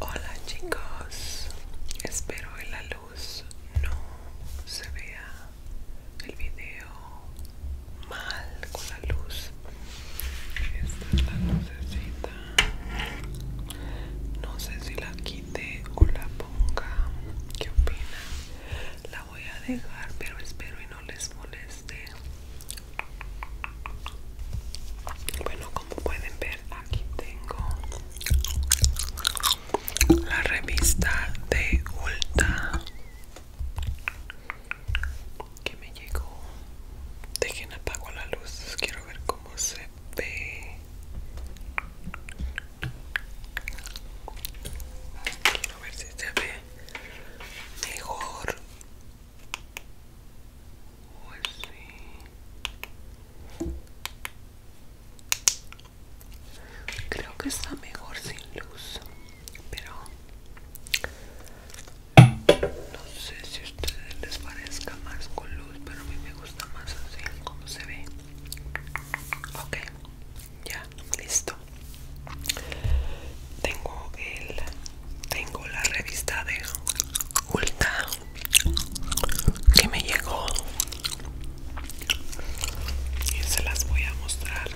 Hola chicos, espero que la luz no se vea el video mal con la luz. Esta es la lucecita. No sé si la quite o la ponga. ¿Qué opinan? voy a dejar pero espero y no les moleste bueno como pueden ver aquí tengo la revista de Ulta que me llegó dejen apago la luz quiero ver cómo se ve quiero ver si se ve mejor o pues creo que está mejor sin luz pero no sé si a ustedes les parezca más con luz pero a mí me gusta más así como se ve ok ya listo tengo el tengo la revista de Ulta que me llegó y se las voy a mostrar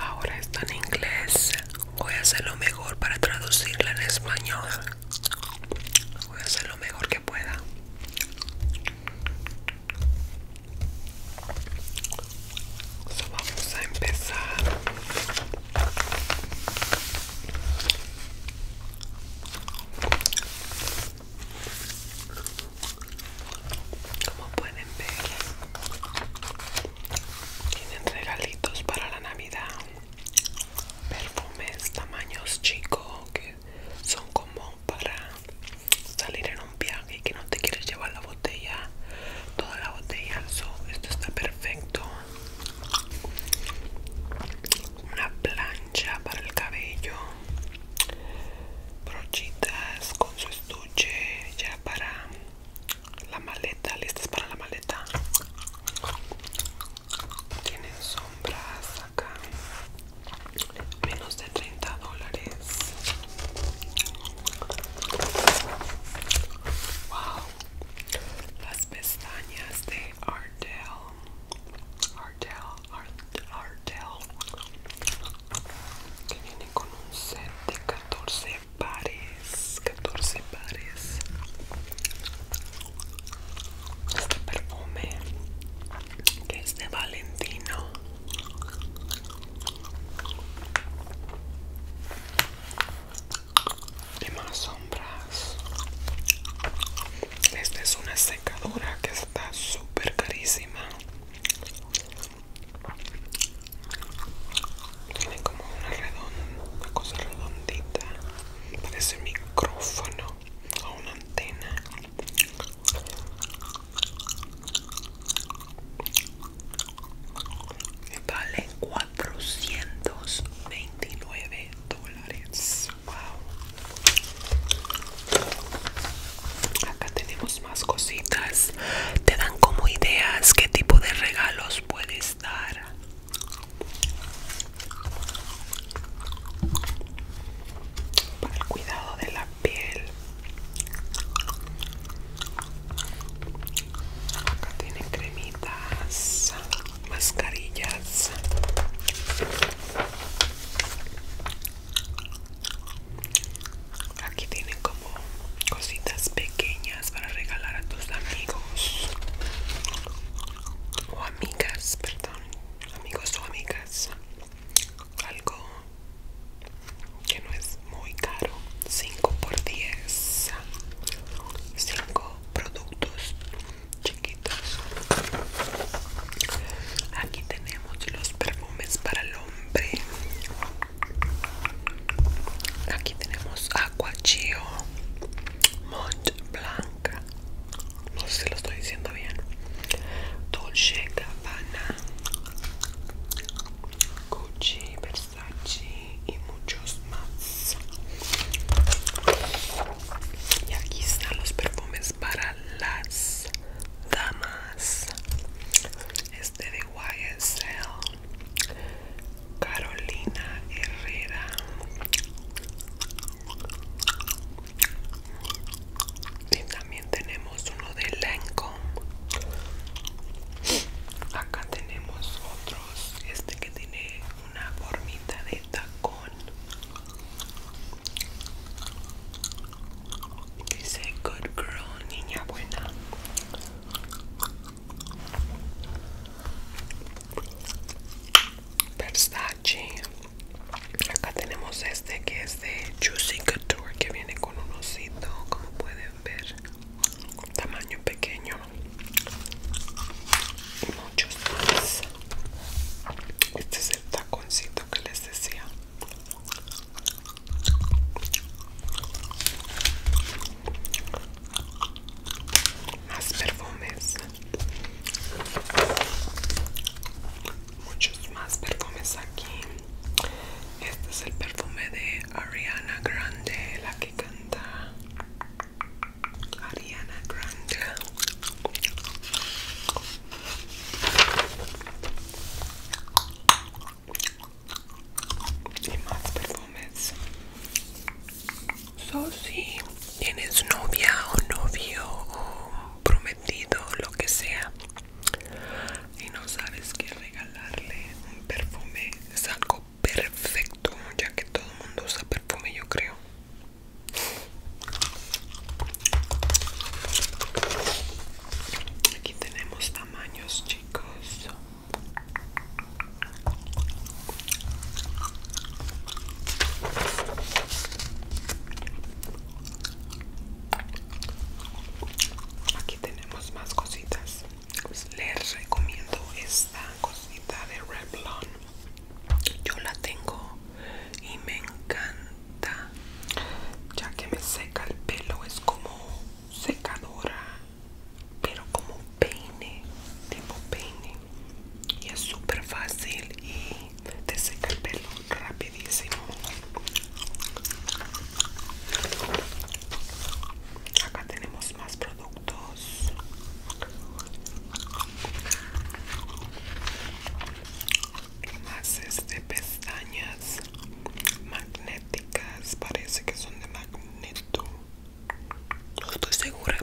ahora está en inglés voy a hacer lo mejor para traducirla en español voy a hacer lo mejor que pueda vamos a empezar como pueden ver tienen regalitos para la navidad perfumes tamaños chicos son como para salir en un viaje y que no te quieres llevar la botella, toda la botella. esto está perfecto. Una plancha para el cabello, brochitas con su estuche ya para la maleta, listas para la maleta. Tienen son? compras acá menos de 30 dólares wow las pestañas de Ardell Ardell Ardell, Ardell que viene con un set de 14 pares 14 pares este perfume que es de Valentino y más sombras esta es una secadora que está súper carísima tiene como una, redonda, una cosa redondita parece micrófono una antena me vale 429 dólares wow acá tenemos más cositas te dan como ideas qué tipo de regalos puedes dar para el cuidado de la piel acá tienen cremitas mascarillas aquí tienen como cositas pequeñas para regalar a tus amigos o amigas perdón amigos o amigas algo que no es muy caro 5 por 10 5 productos chiquitos aquí tenemos los perfumes para el hombre aquí tenemos Aqua Chio Mont Blanc no sé si lo estoy diciendo bien Dolce Gabbana Gucci, Versace y muchos más y aquí están los perfumes para las damas este de YSL Carolina Herrera y también tenemos uno de Lancome acá tenemos otros este que tiene una formita de tacón dice good girl niña buena Versace. Acá tenemos este que es de Juicy Couture, que viene con un osito, como pueden ver, tamaño pequeño. Y muchos más. Este es el taconcito que les decía más perfumes muchos más perfumes aquí este es el perfume de Ariana Grande la que canta Ariana Grande y más perfumes So, si tienes novia o novio o prometido, lo que sea, y no sabes que regalarle, un perfume es algo perfecto, ya que todo el mundo usa perfume, yo creo. Aquí tenemos tamaños, chicos. Aquí tenemos más cositas. Pues les recomiendo esta cosita de Revlon. Yo la tengo y me encanta. Ya que me seca el pelo, es como secadora, pero como peine, tipo peine y es súper fácil y te seca el pelo rapidísimo acá tenemos más productos más de pestañas magnéticas parece que son de magneto no estoy segura.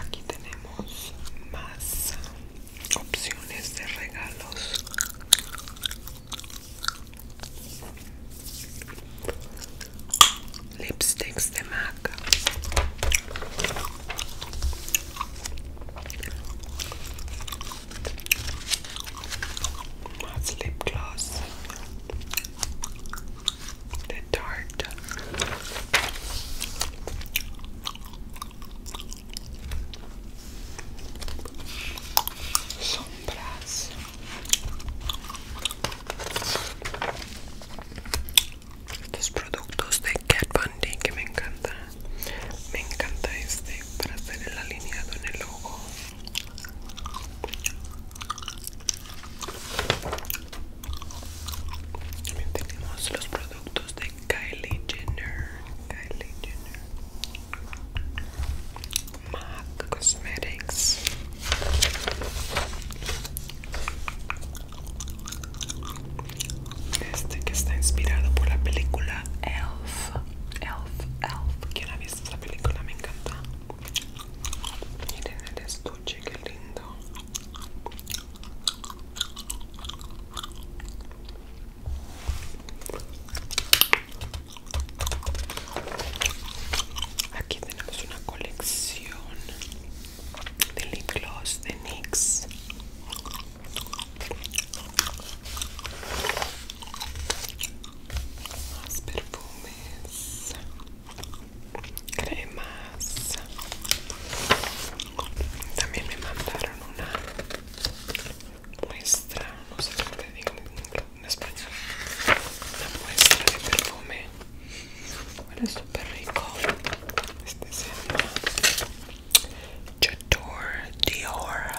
Aquí tenemos más opciones de regalos. Lipsticks de MAC. Más lip gloss de tart. Sombras. Estos productos de Cat Von que me encanta. Me encanta este para hacer el alineado en el ojo. También tenemos los productos de Kylie Jenner, Kylie Jenner, MAC Cosmetics. Este que está inspirado por la película Elf, Elf, Elf. ¿Quién ha visto esta película? Me encanta. Miren el estuche, qué lindo. Aquí tenemos una colección de lip de NYX más perfumes, cremas. También me mandaron una muestra, no sé cómo te digo en español, una muestra de perfume. Huele súper rico. Este se llama chatur Dior.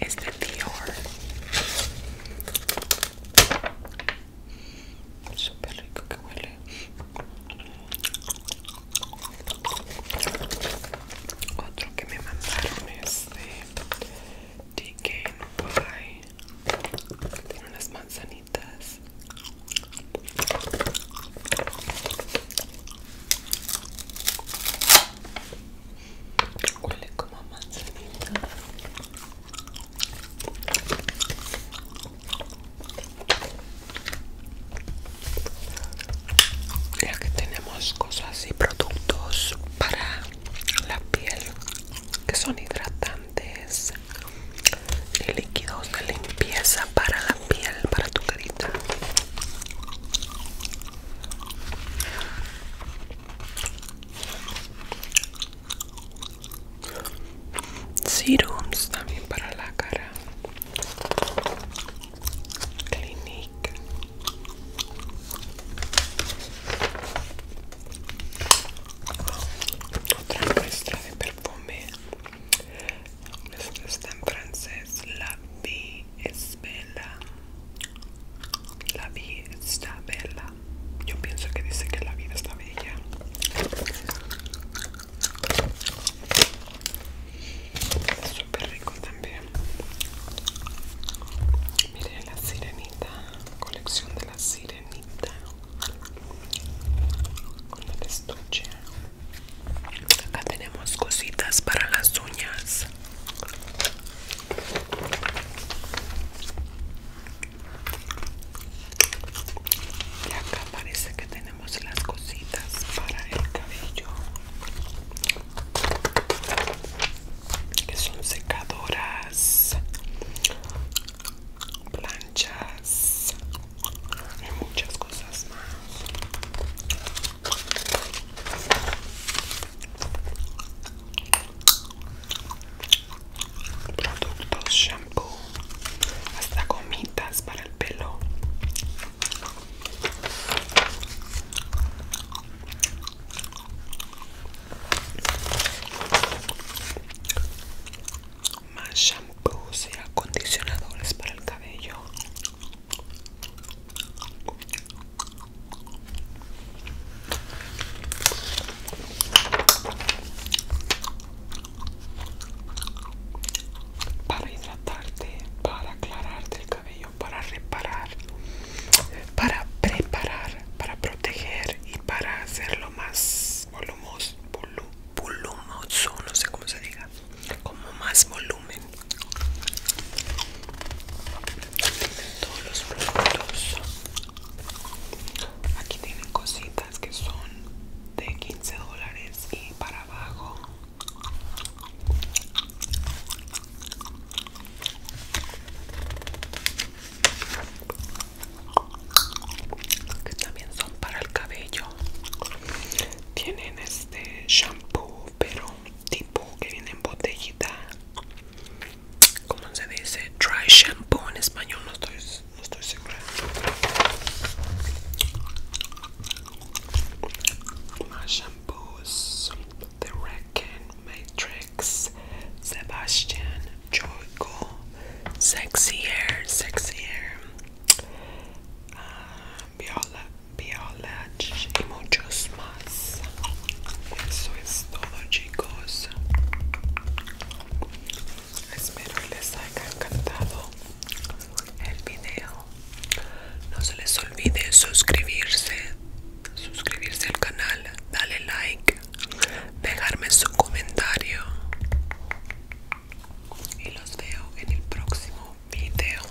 este Dior super rico que huele. Otro que me mandaron es de No Pie. Tiene unas manzanitas. Huele como manzanita. Ya que tenemos cosas y productos para la piel que son hidratantes y líquidos de limpieza para la piel, para tu carita. Serums también para la cara. Clinique. Otra muestra de perfume. Esto está en francés. La vie es bella. La vida está bella. Yo pienso que dice que la vida está bella. súper rico también. Mire la sirenita. Colección de la sirenita. Con el estuche. Acá tenemos cositas para las uñas. Y acá parece que tenemos las cositas para el cabello que son secadoras planchas y muchas cosas más productos shampoo hasta gomitas para el pelo más shampoos y acondicionadores para el cabello para hidratarte, para aclararte el cabello, para reparar, para preparar, para proteger y para hacerlo más volumoso, no sé cómo se diga, como más volumen todos los productos aquí tienen cositas que son de 15 dólares y para abajo que también son para el cabello tienen este shampoo pero tipo que viene en botellita ¿Cómo se dice dry shampoo en español no estoy segura más shampoos The Reckon Matrix Sebastian Joico Sexier Sexier uh, ah, Viola y muchos más. Eso es todo, chicos. Espero les haya encantado el video. No se les olvide suscribirse, suscribirse al canal, darle like, dejarme su comentario. Y los veo en el próximo video.